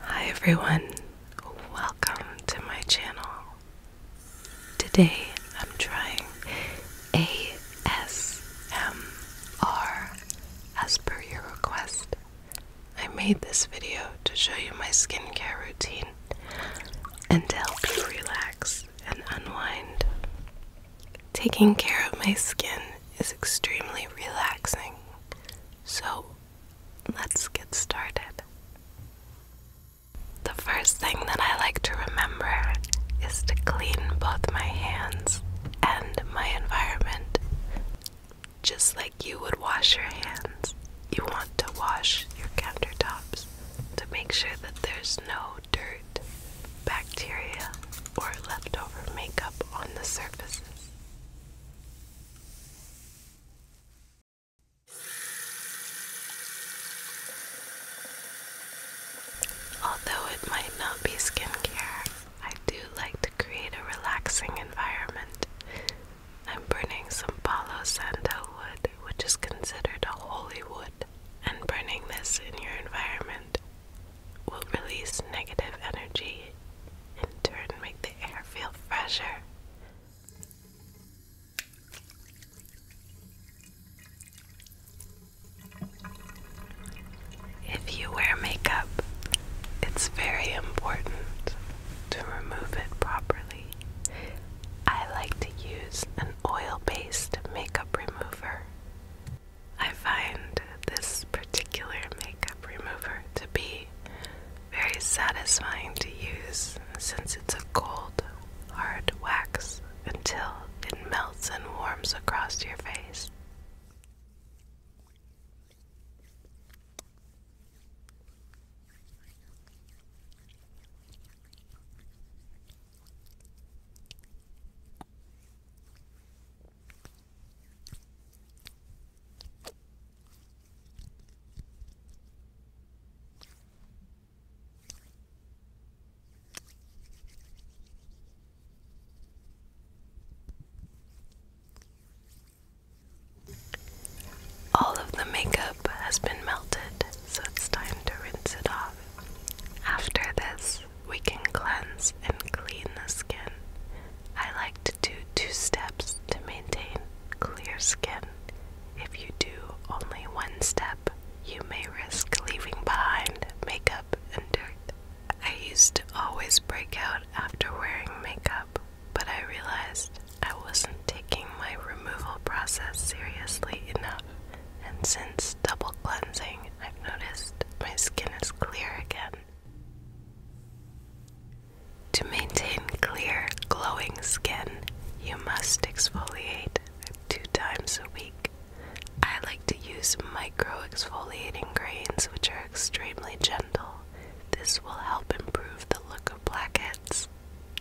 Hi everyone, welcome to my channel. Today I'm trying ASMR as per your request. I made this video to show you my skincare routine and help you relax and unwind. Taking care of my skin is extremely relaxing. So, let's get started. The first thing that I like to remember is to clean both my hands and my environment. Just like you would wash your hands, you want to wash your countertops to make sure that there's no dirt, bacteria, or leftover makeup on the surfaces. Although it might not be skincare, I do like to create a relaxing environment. I'm burning some Palo Santo wood, which is considered a holy wood, and burning this in your environment will release negative energy, in turn, make the air feel fresher. If you wear makeup, it's very important to remove it properly. I like to use an oil based makeup remover. I find this particular makeup remover to be very satisfying to use since it's a cold, hard wax until it melts and warms across your face. All of the makeup has been melted, so it's time to rinse it off. After this, we can cleanse and clean the skin. I like to do two steps to maintain clear skin. If you do only one step, you may risk leaving behind makeup and dirt. I used to always break out after wearing makeup, but I realized I wasn't taking my removal process seriously enough and since double cleansing, I've noticed my skin is clear again. To maintain clear, glowing skin, you must exfoliate two times a week. I like to use micro exfoliating grains, which are extremely gentle. This will help improve the look of blackheads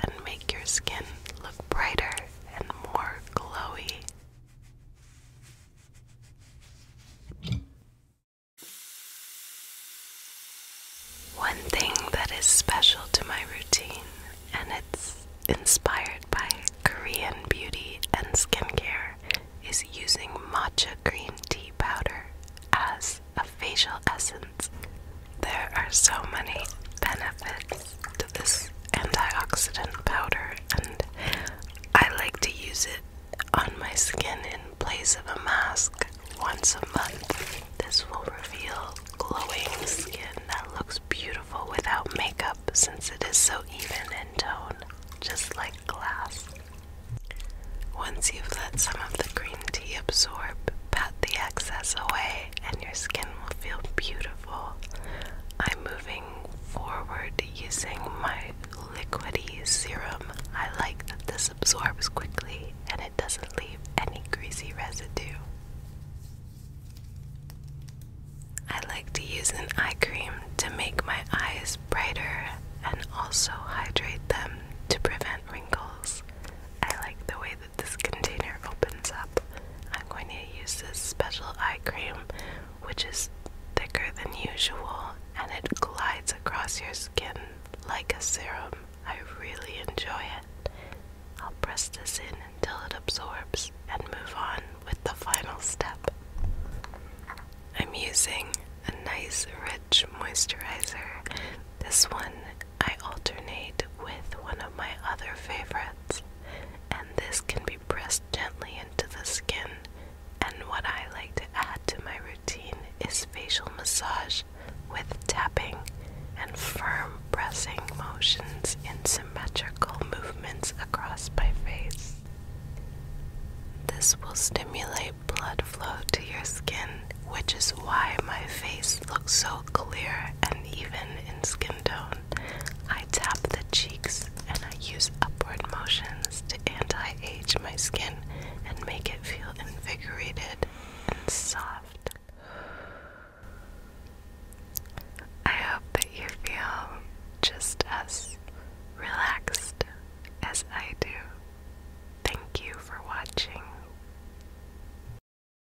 and make your skin look brighter and more glowy. One thing that is special to my routine, and it's inspired by Korean beauty and skincare, is using matcha green tea powder as a facial essence. There are so many benefits this antioxidant powder and I like to use it on my skin in place of a mask once a month. This will reveal glowing skin that looks beautiful without makeup since it is so even in tone, just like glass. Once you've let some of the green tea absorb, pat the excess away and your skin will feel beautiful. I'm moving forward using my liquidy serum. I like that this absorbs quickly and it doesn't leave any greasy residue. I like to use an eye cream to make my eyes brighter and also hydrate them to prevent wrinkles. I like the way this container opens up, I'm going to use this special eye cream, which is thicker than usual and it glides across your skin like a serum. I really enjoy it. I'll press this in until it absorbs and move on with the final step. I'm using a nice rich moisturizer. This one I alternate with one of my other favorites, and this can be pressed gently into the skin. And what I like to add to my routine is facial massage with tapping and firm pressing motions in symmetrical movements across my face. This will stimulate blood flow to your skin, which is why my face looks so clear and even in skin tone. I tap the cheeks and I use upward motions to anti age my skin and make it feel invigorated and soft. I hope that you feel just as relaxed as I do. Thank you for watching.